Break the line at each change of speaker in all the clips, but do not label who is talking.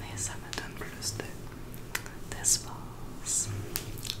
Mais ça me donne plus d'espace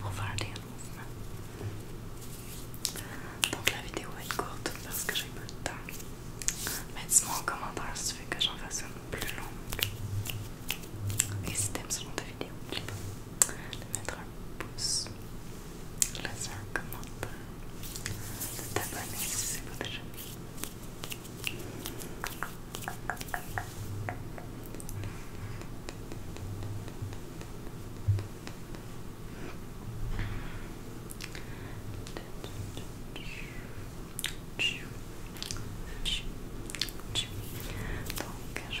pour faire des mouvements. Donc la vidéo est courte parce que j'ai peu de temps. mettez dis-moi en commentaire si tu veux que j'en fasse une plus longue. Et si t'aimes ce vidéo, n'oublie pas de mettre un pouce. La Zargamalpa, the Taiwanese civilization. Donc je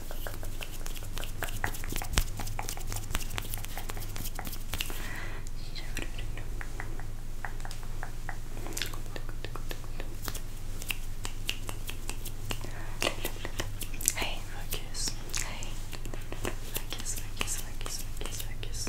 Hey, focus. Hey, focus, focus, focus, focus, focus.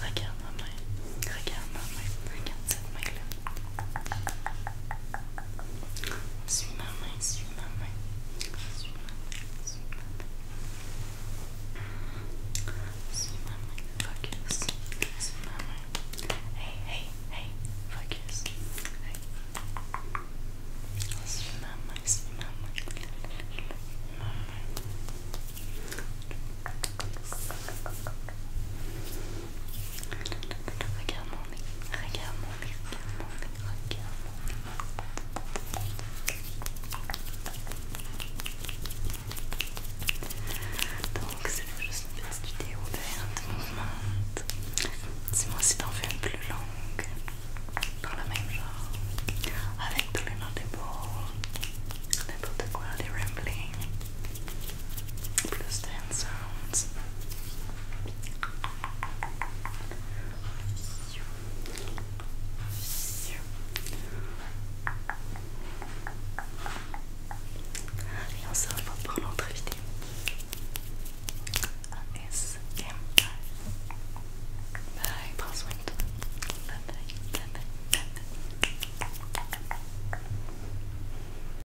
Regarde ma main, regarde ma main, regarde cette main là. Suis ma main. Relax, relax, relax, relax. Focus. Hey, hey, hey, focus. Hey. Remember, remember, remember.
Regarde mon nez, regarde mon nez, regarde mon nez, regarde mon nez. Donc c'est juste une petite vidéo de mouvement. movement. Dis-moi si t'en fais une plus longue, dans le même genre, avec tous les noms des balles, n'importe quoi, des ramblings. Blue stand sounds. You. You. Et on se revoit vidéo. ASMR. bye bye.